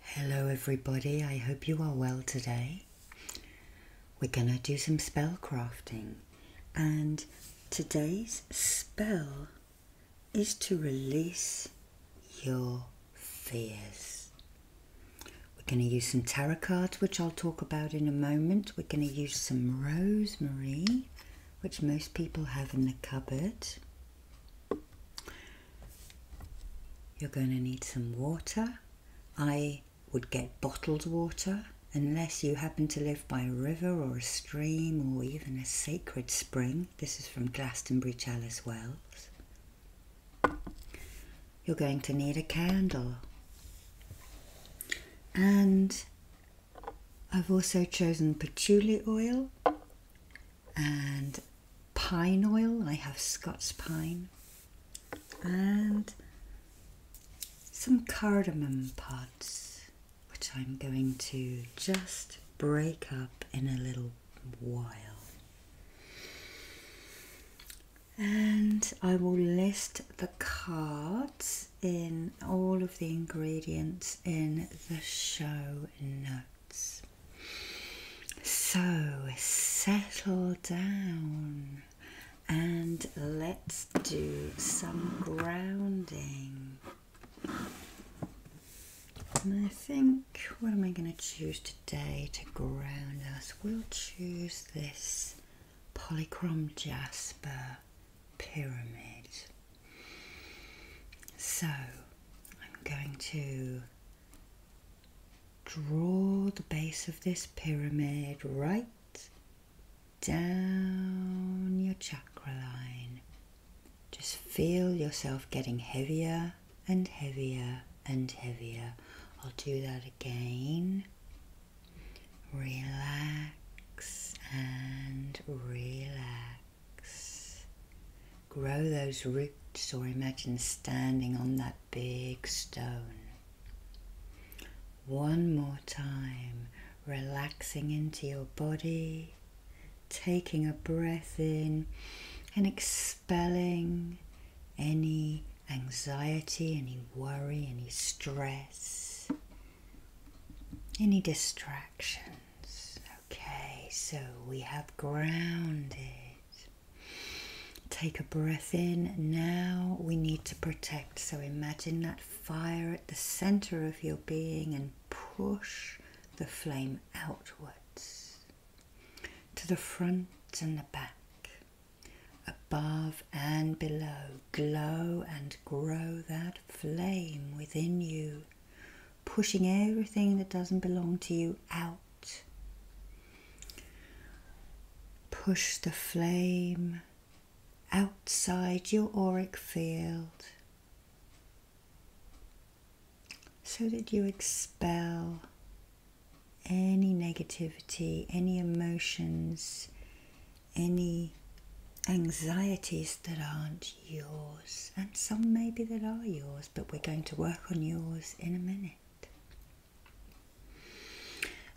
Hello, everybody. I hope you are well today. We're going to do some spell crafting, and today's spell is to release your fears. We're going to use some tarot cards, which I'll talk about in a moment. We're going to use some rosemary, which most people have in the cupboard. You're going to need some water. I would get bottled water unless you happen to live by a river or a stream or even a sacred spring. This is from Glastonbury Chalice Wells. You're going to need a candle. And I've also chosen patchouli oil and pine oil. I have Scots pine and some cardamom pods, which I'm going to just break up in a little while. And I will list the cards in all of the ingredients in the show notes. So settle down and let's do some grounding. And I think what am I going to choose today to ground us? We'll choose this polychrome jasper pyramid. So I'm going to draw the base of this pyramid right down your chakra line. Just feel yourself getting heavier and heavier and heavier. I'll do that again. Relax and relax. Grow those roots or imagine standing on that big stone. One more time, relaxing into your body, taking a breath in and expelling any anxiety, any worry, any stress, any distractions. Okay, so we have grounded. Take a breath in. Now we need to protect. So imagine that fire at the center of your being and push the flame outwards to the front and the back, above and below. Glow and grow that flame within you, pushing everything that doesn't belong to you out. Push the flame outside your auric field so that you expel any negativity, any emotions, any anxieties that aren't yours, and some maybe that are yours, but we're going to work on yours in a minute.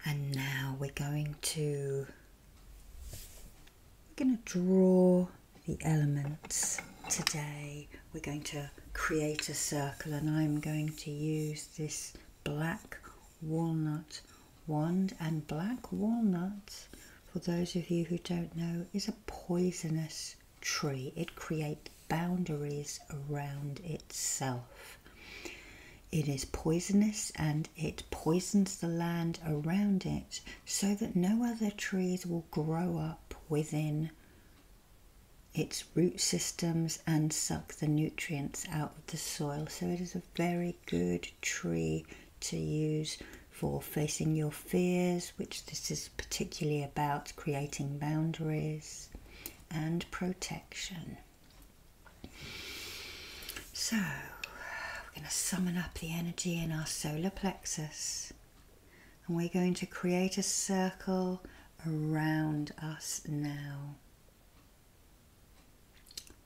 And now we're going to we're going to draw the elements today. We're going to create a circle and I'm going to use this black walnut wand and black walnut for those of you who don't know is a poisonous tree. It creates boundaries around itself. It is poisonous and it poisons the land around it so that no other trees will grow up within its root systems and suck the nutrients out of the soil. So it is a very good tree to use for facing your fears, which this is particularly about creating boundaries and protection. So, we're going to summon up the energy in our solar plexus and we're going to create a circle around us now.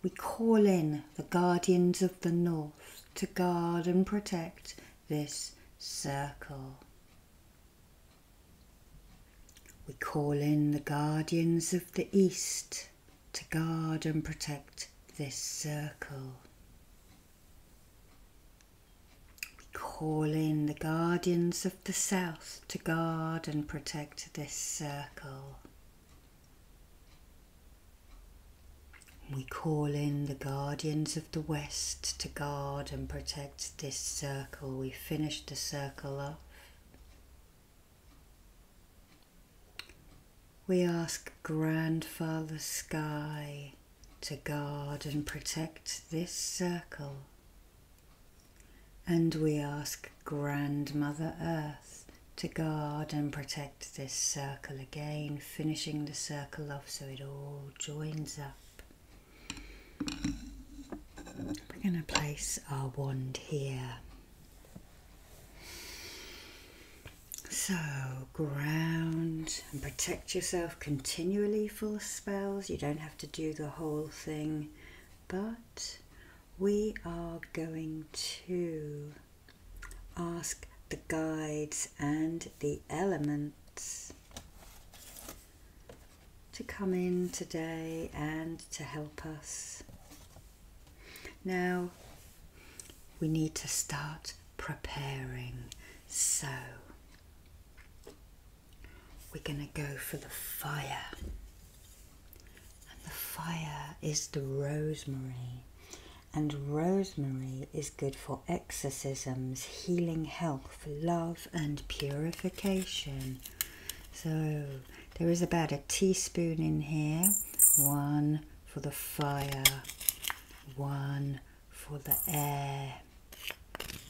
We call in the guardians of the north to guard and protect this circle. We call in the guardians of the East to guard and protect this circle. We call in the guardians of the South to guard and protect this circle. We call in the guardians of of the west to guard and protect this circle. We finished the circle off. We ask Grandfather Sky to guard and protect this circle. And we ask Grandmother Earth to guard and protect this circle again, finishing the circle off so it all joins up. We're going to place our wand here. So, ground and protect yourself continually for spells. You don't have to do the whole thing, but we are going to ask the guides and the elements to come in today and to help us. Now we need to start preparing. So we're going to go for the fire. And the fire is the rosemary. And rosemary is good for exorcisms, healing health, love, and purification. So there is about a teaspoon in here one for the fire, one for the air,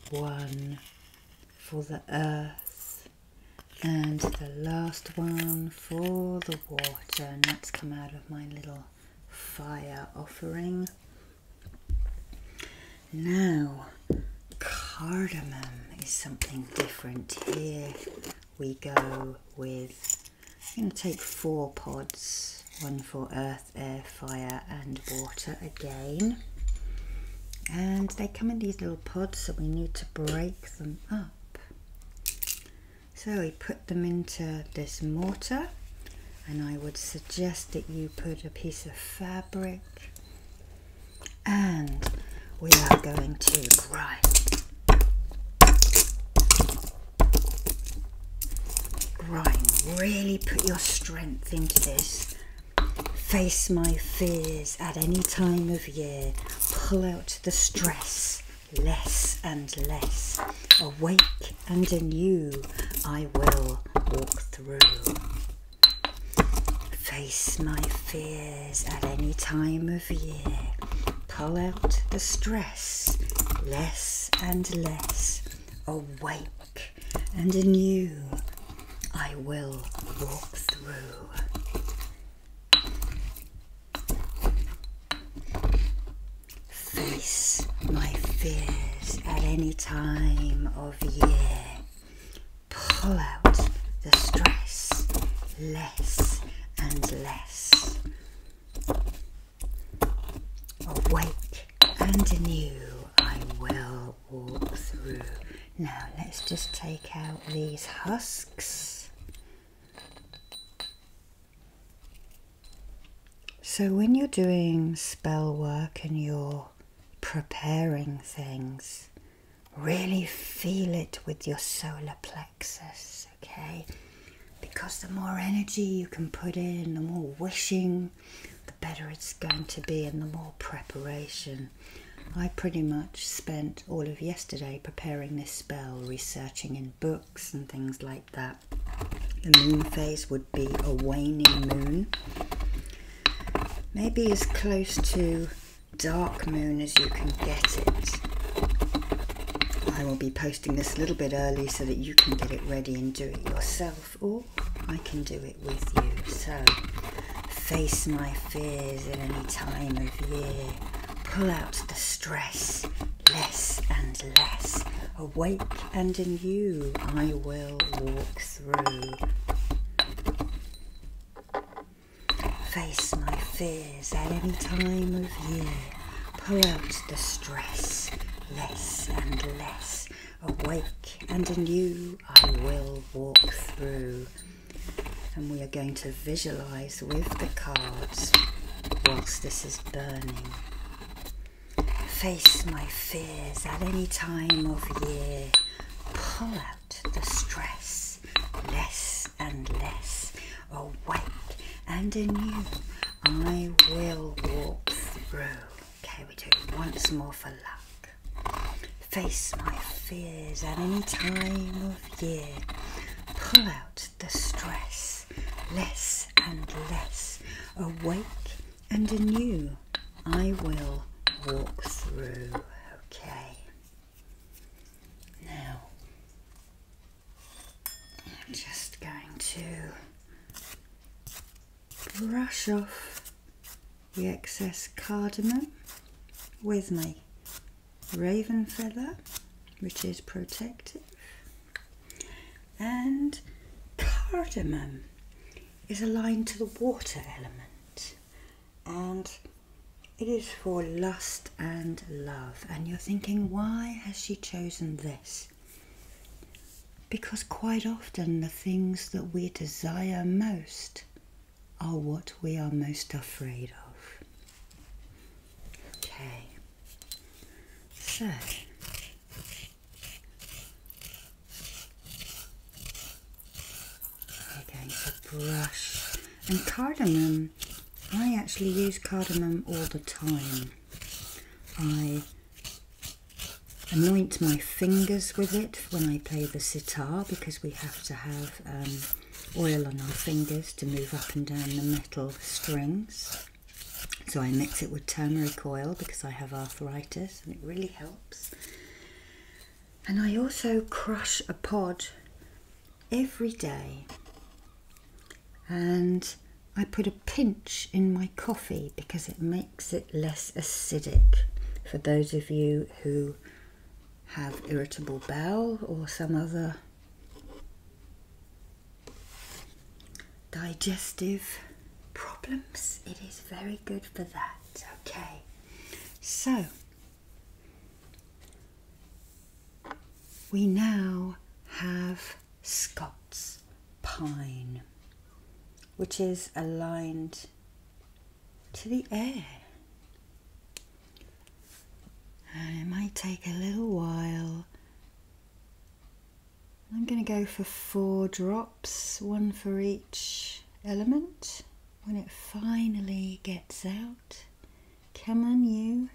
one for the earth, and the last one for the water. And that's come out of my little fire offering. Now, cardamom is something different. Here we go with, I'm going to take four pods, one for earth, air, fire and water again. And they come in these little pods, so we need to break them up. So we put them into this mortar and I would suggest that you put a piece of fabric and we are going to grind grind really put your strength into this face my fears at any time of year pull out the stress less and less awake and anew I will walk through. Face my fears at any time of year, pull out the stress, less and less, awake and anew I will walk through. Face my fears at any time of Pull out the stress less and less. Awake and anew, I will walk through. Now let's just take out these husks. So when you're doing spell work and you're preparing things, really feel it with your solar plexus, okay? Because the more energy you can put in, the more wishing, the better it's going to be, and the more preparation. I pretty much spent all of yesterday preparing this spell, researching in books and things like that. The moon phase would be a waning moon, maybe as close to dark moon as you can get it. I will be posting this a little bit early so that you can get it ready and do it yourself, or I can do it with you. So, face my fears at any time of year. Pull out the stress, less and less. Awake and in you, I will walk through. Face my fears at any time of year. Pull out the stress, less and less. Awake and anew, I will walk through. And we are going to visualize with the cards whilst this is burning. Face my fears at any time of year. Pull out the stress, less and less. Awake and anew, I will walk through. Okay, we do once more for luck. Face my fears at any time of year. Pull out the stress, less and less. Awake and anew I will walk through. Okay. Now, I'm just going to brush off the excess cardamom with my raven feather, which is protective, and cardamom is aligned to the water element and it is for lust and love. And you're thinking, why has she chosen this? Because quite often the things that we desire most are what we are most afraid of. Okay, so we're brush. And cardamom, I actually use cardamom all the time. I anoint my fingers with it when I play the sitar because we have to have um, oil on our fingers to move up and down the metal strings. So I mix it with turmeric oil because I have arthritis and it really helps. And I also crush a pod every day. And I put a pinch in my coffee because it makes it less acidic for those of you who have irritable bowel or some other digestive problems, it is very good for that. Okay, so we now have Scots pine, which is aligned to the air. And it might take a little while. I'm going to go for four drops one for each element, when it finally gets out. Come on, you.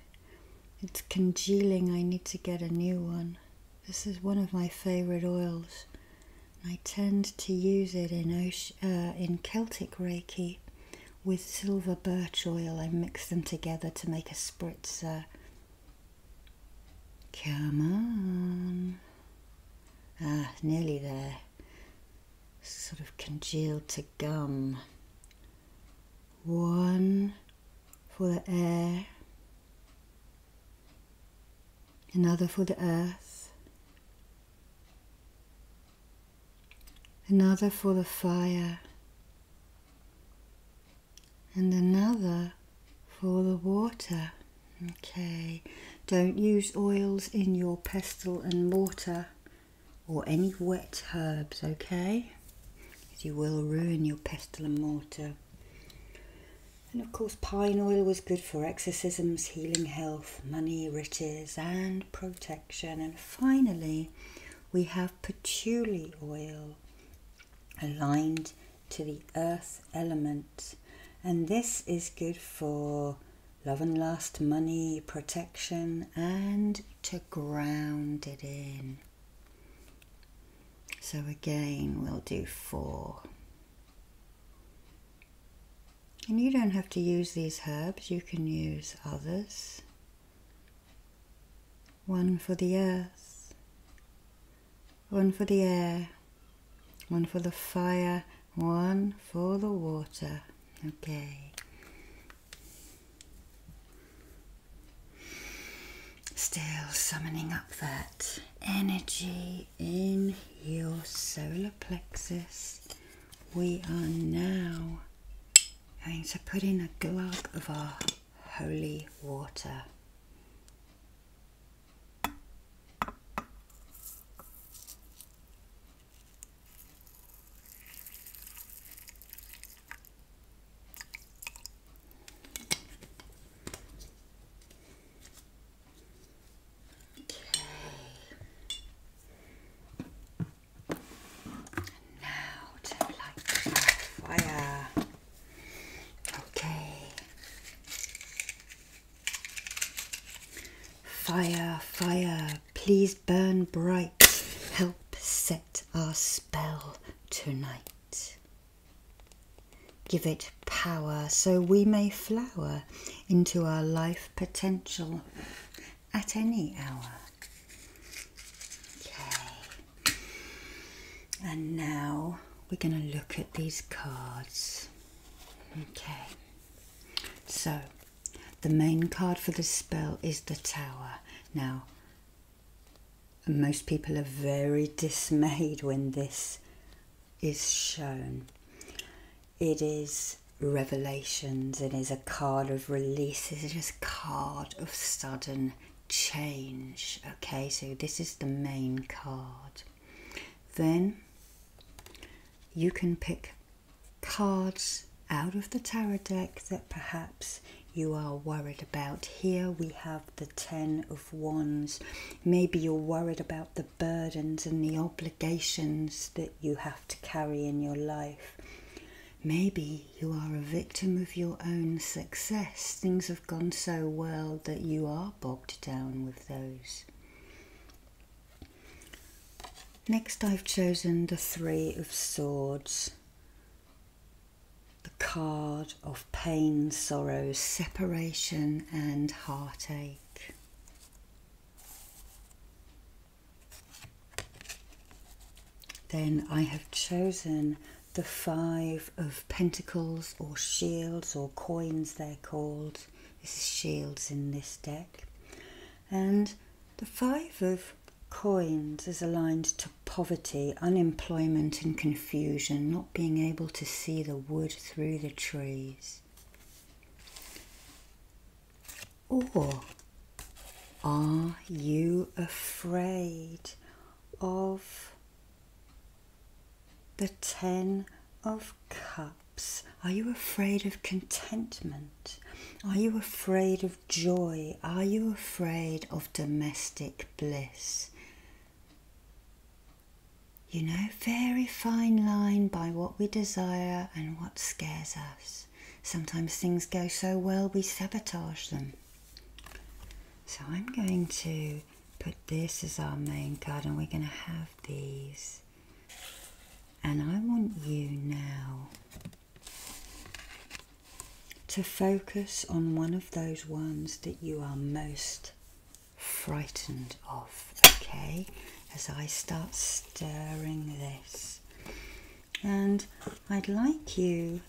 It's congealing. I need to get a new one. This is one of my favorite oils. I tend to use it in uh, Celtic Reiki with silver birch oil. I mix them together to make a spritzer. Come on. Ah, nearly there. Sort of congealed to gum. One for the air, another for the earth, another for the fire, and another for the water. Okay, don't use oils in your pestle and mortar or any wet herbs, okay? Because you will ruin your pestle and mortar. And of course, pine oil was good for exorcisms, healing health, money, riches, and protection. And finally, we have patchouli oil aligned to the earth element. And this is good for love and lust, money, protection, and to ground it in. So again, we'll do four. And you don't have to use these herbs, you can use others. One for the earth, one for the air, one for the fire, one for the water. Okay. Still summoning up that energy in your solar plexus. We are now going to put in a glug of our holy water. Now to light the fire. Okay. Fire, fire, please burn bright, help set our spell tonight. Give it power so we may flower into our life potential at any hour. Okay, and now we're going to look at these cards. Okay, so the main card for this spell is the Tower. Now, most people are very dismayed when this is shown. It is revelations, it is a card of releases, it is a card of sudden change. Okay, so this is the main card. Then you can pick cards out of the tarot deck that perhaps you are worried about. Here we have the Ten of Wands. Maybe you're worried about the burdens and the obligations that you have to carry in your life. Maybe you are a victim of your own success. Things have gone so well that you are bogged down with those. Next I've chosen the Three of Swords, the card of pain, sorrow, separation and heartache. Then I have chosen the Five of Pentacles or Shields or Coins they're called out. This is shields in this deck. And the five of coins is aligned to poverty, unemployment, and confusion, not being able to see the wood through the trees. Or are you afraid of the Ten of Cups. Are you afraid of contentment? Are you afraid of joy? Are you afraid of domestic bliss? You know, very fine line by what we desire and what scares us. Sometimes things go so well we sabotage them. So I'm going to put this as our main card and we're going to have these and I want you now to focus on one of those ones that you are most frightened of, okay? As I start stirring this. And I'd like you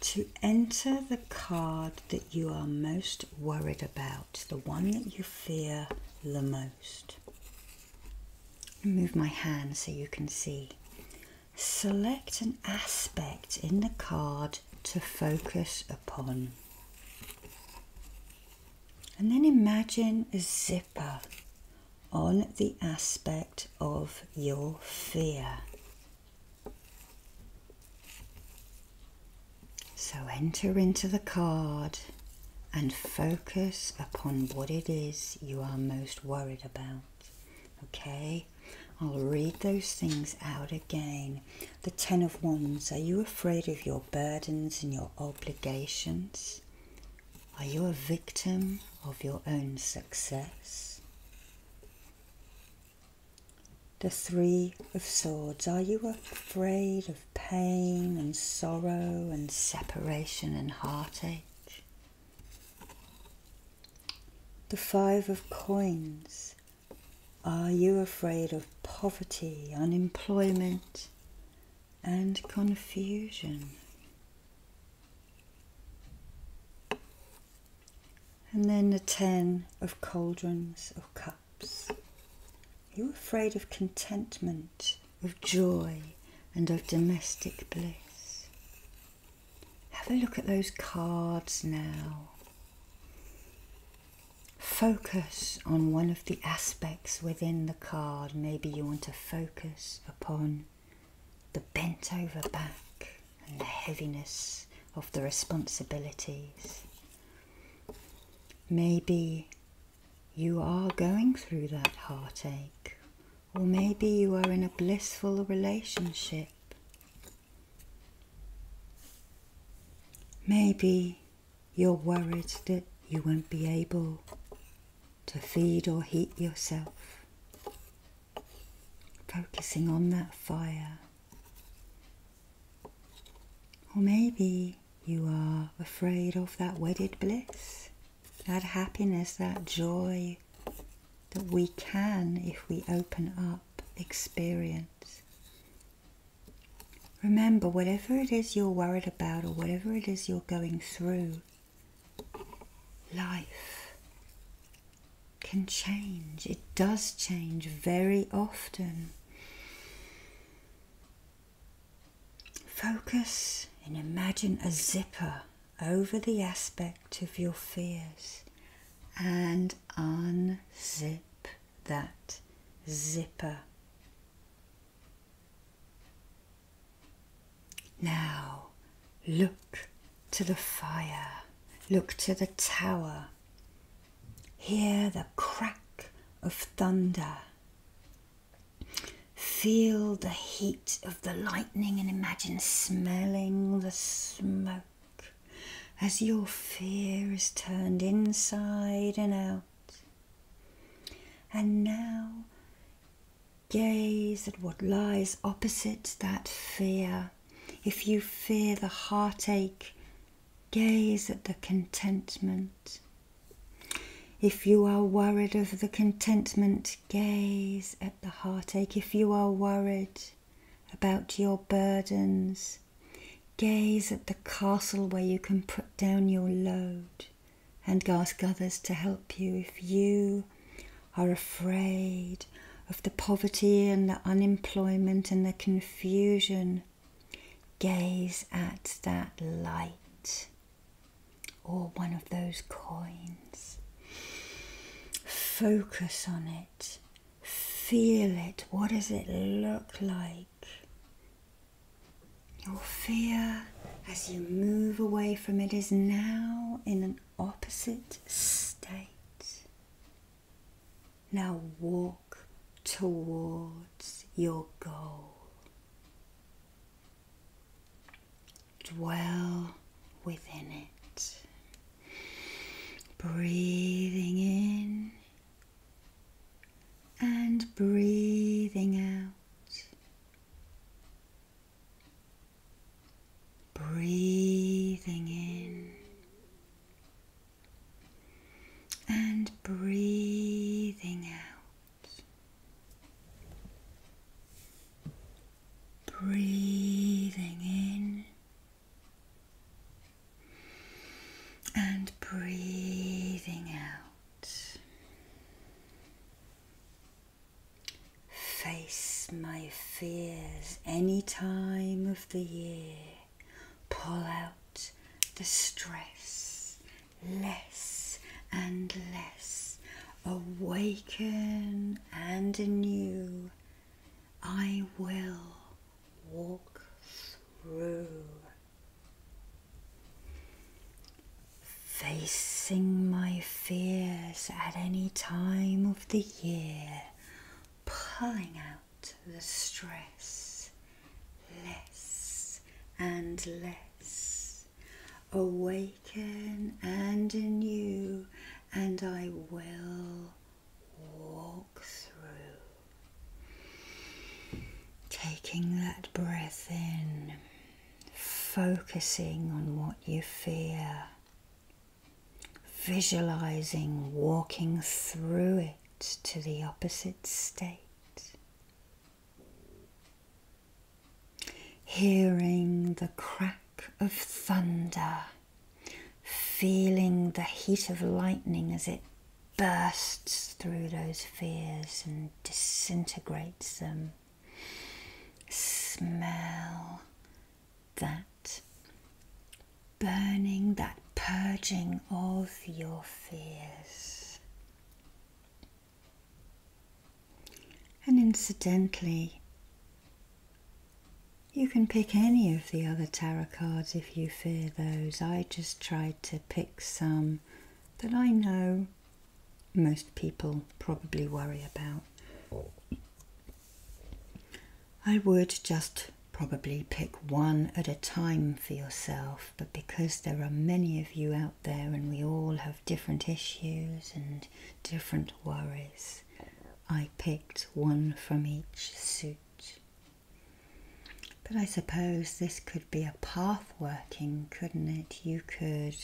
to enter the card that you are most worried about, the one that you fear the most. Move my hand so you can see. Select an aspect in the card to focus upon. And then imagine a zipper on the aspect of your fear. So enter into the card and focus upon what it is you are most worried about. Okay, I'll read those things out again. The Ten of Wands, are you afraid of your burdens and your obligations? Are you a victim of your own success? The Three of Swords. Are you afraid of pain and sorrow and separation and heartache? The Five of Coins. Are you afraid of poverty, unemployment, and confusion? And then the Ten of Cauldrons of Cups. You're afraid of contentment, of joy, and of domestic bliss. Have a look at those cards now. Focus on one of the aspects within the card. Maybe you want to focus upon the bent over back and the heaviness of the responsibilities. Maybe you are going through that heartache, or maybe you are in a blissful relationship. Maybe you're worried that you won't be able to feed or heat yourself. Focusing on that fire. Or maybe you are afraid of that wedded bliss, that happiness, that joy that we can, if we open up, experience. Remember, whatever it is you're worried about or whatever it is you're going through, life can change. It does change very often. Focus and imagine a zipper over the aspect of your fears and unzip that zipper. Now look to the fire, look to the tower, Hear the crack of thunder. Feel the heat of the lightning and imagine smelling the smoke as your fear is turned inside and out. And now gaze at what lies opposite that fear. If you fear the heartache, gaze at the contentment. If you are worried of the contentment, gaze at the heartache. If you are worried about your burdens, gaze at the castle where you can put down your load and ask others to help you. If you are afraid of the poverty and the unemployment and the confusion Gaze at that light or one of those coins. Focus on it. Feel it. What does it look like? Your fear as you move away from it is now in an opposite state. Now walk towards your goal. Dwell within it. Breathing in and breathing out. Breathing in and breathing out, breathing in and breathing out. Face my fears any time of the year. Pull out the stress less and less. Awaken and anew. I will walk through. Facing my fears at any time of the year, pulling out the stress less and less. Awaken and anew, and I will walk through. Taking that breath in, focusing on what you fear, visualizing walking through it to the opposite state. Hearing the crack of thunder, feeling the heat of lightning as it bursts through those fears and disintegrates them. Smell that burning, that purging of your fears. And incidentally, you can pick any of the other tarot cards if you fear those. I just tried to pick some that I know most people probably worry about. I would just probably pick one at a time for yourself but because there are many of you out there and we all have different issues and different worries, I picked one from each suit. But I suppose this could be a path working, couldn't it? You could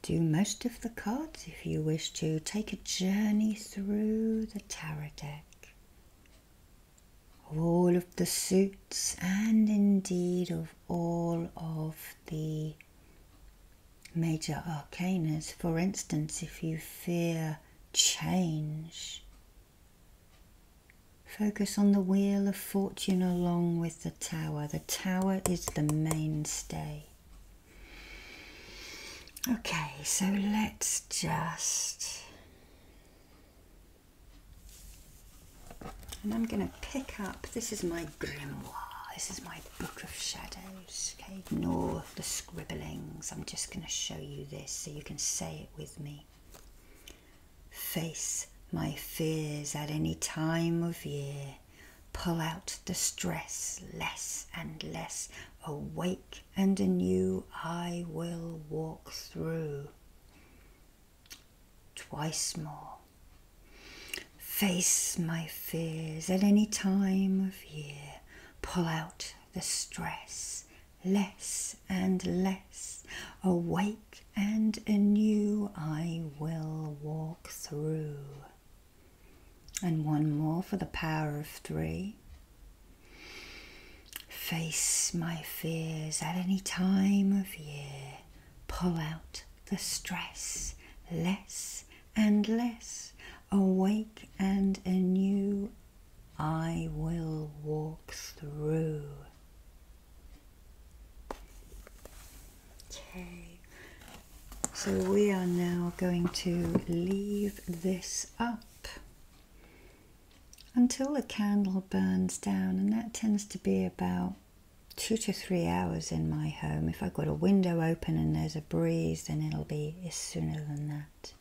do most of the cards if you wish to. Take a journey through the tarot deck all of the suits and indeed of all of the major arcanas. For instance, if you fear change, focus on the wheel of fortune along with the tower. The tower is the mainstay. Okay, so let's just and I'm going to pick up, this is my grimoire, this is my book of shadows. Okay, ignore the scribblings. I'm just going to show you this so you can say it with me. Face my fears at any time of year. Pull out the stress less and less. Awake and anew I will walk through twice more. Face my fears at any time of year, pull out the stress, less and less, awake and anew I will walk through. And one more for the power of three. Face my fears at any time of year. Pull out the stress, less and less. Awake and anew, I will walk through. Okay, so we are now going to leave this up until the candle burns down, and that tends to be about two to three hours in my home. If I've got a window open and there's a breeze, then it'll be sooner than that.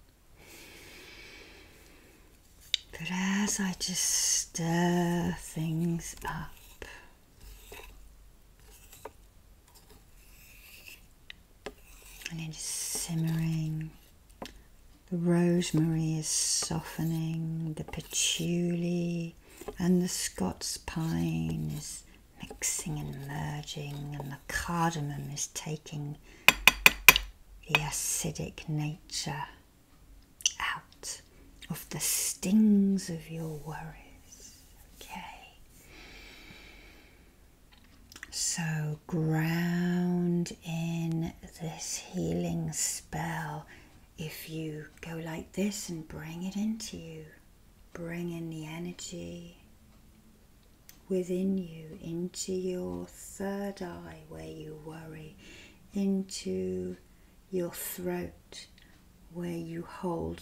But as I just stir things up, and then just simmering the rosemary is softening, the patchouli and the Scots pine is mixing and merging, and the cardamom is taking the acidic nature out of the stings of your worries. Okay. So ground in this healing space spell if you go like this and bring it into you. Bring in the energy within you into your third eye where you worry, into your throat where you hold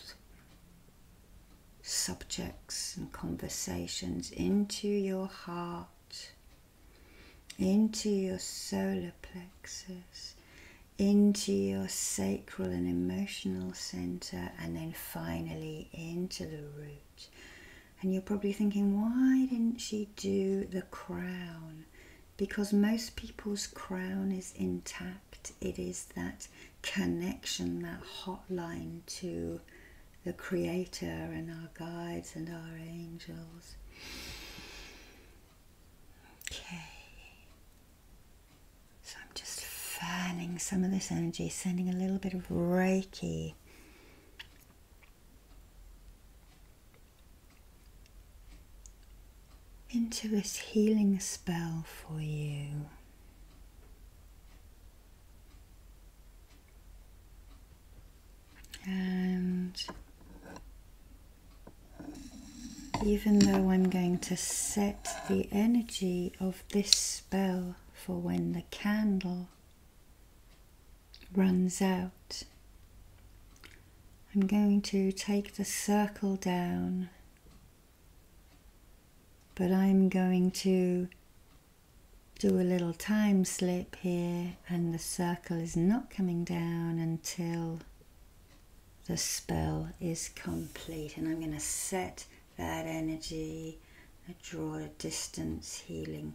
subjects and conversations, into your heart into your solar plexus, into your sacral and emotional center, and then finally into the root. And you're probably thinking, why didn't she do the crown? Because most people's crown is intact. It is that connection, that hotline to the Creator and our guides and our angels. Okay. So I'm just fanning some of this energy, sending a little bit of Reiki. Into this healing spell for you. And even though I'm going to set the energy of this spell for when the candle runs out, I'm going to take the circle down, but I'm going to do a little time slip here and the circle is not coming down until the spell is complete and I'm going to set that energy I draw a distance healing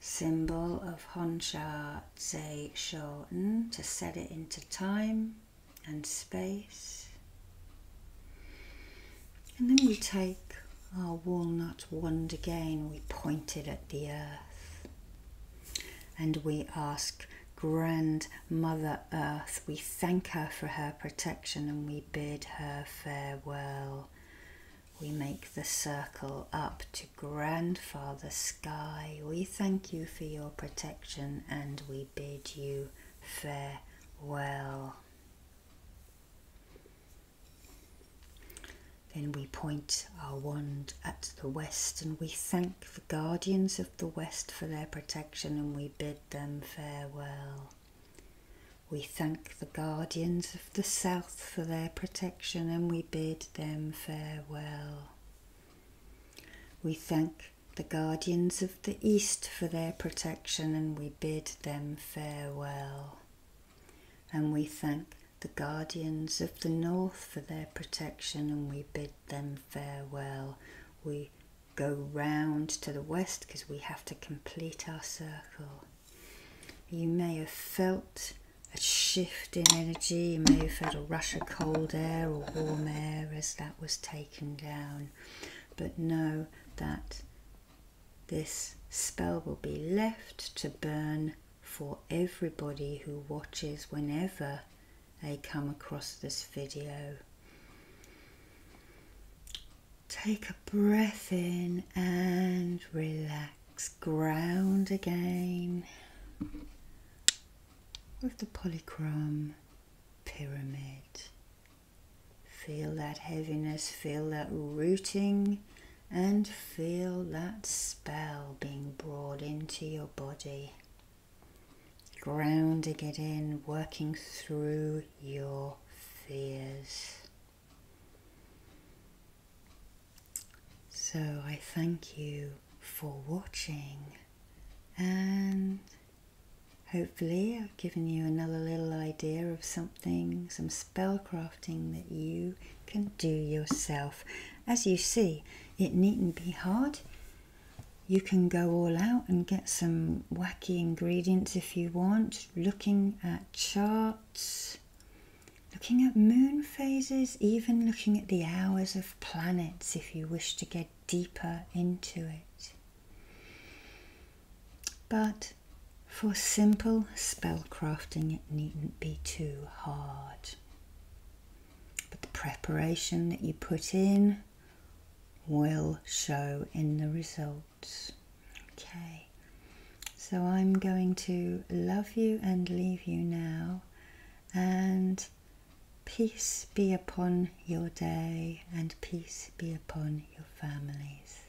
symbol of Honsha Tse Shoten to set it into time and space and then we take our walnut wand again, we pointed at the earth. And we ask Grandmother Earth, we thank her for her protection and we bid her farewell. We make the circle up to Grandfather Sky. We thank you for your protection and we bid you farewell. Then we point our wand at the west and we thank the guardians of the west for their protection and we bid them farewell. We thank the guardians of the south for their protection and we bid them farewell. We thank the guardians of the east for their protection and we bid them farewell. And we thank the guardians of the north for their protection, and we bid them farewell. We go round to the west because we have to complete our circle. You may have felt a shift in energy, you may have felt a rush of cold air or warm air as that was taken down, but know that this spell will be left to burn for everybody who watches whenever they come across this video. Take a breath in and relax. Ground again with the polychrome pyramid. Feel that heaviness, feel that rooting and feel that spell being brought into your body, grounding it in, working through your fears. So I thank you for watching and hopefully I've given you another little idea of something, some spell crafting that you can do yourself. As you see, it needn't be hard. You can go all out and get some wacky ingredients if you want. Looking at charts, looking at moon phases, even looking at the hours of planets if you wish to get deeper into it. But for simple spellcrafting, it needn't be too hard. But the preparation that you put in will show in the results. Okay, so I'm going to love you and leave you now, and peace be upon your day, and peace be upon your families.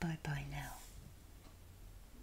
Bye bye now.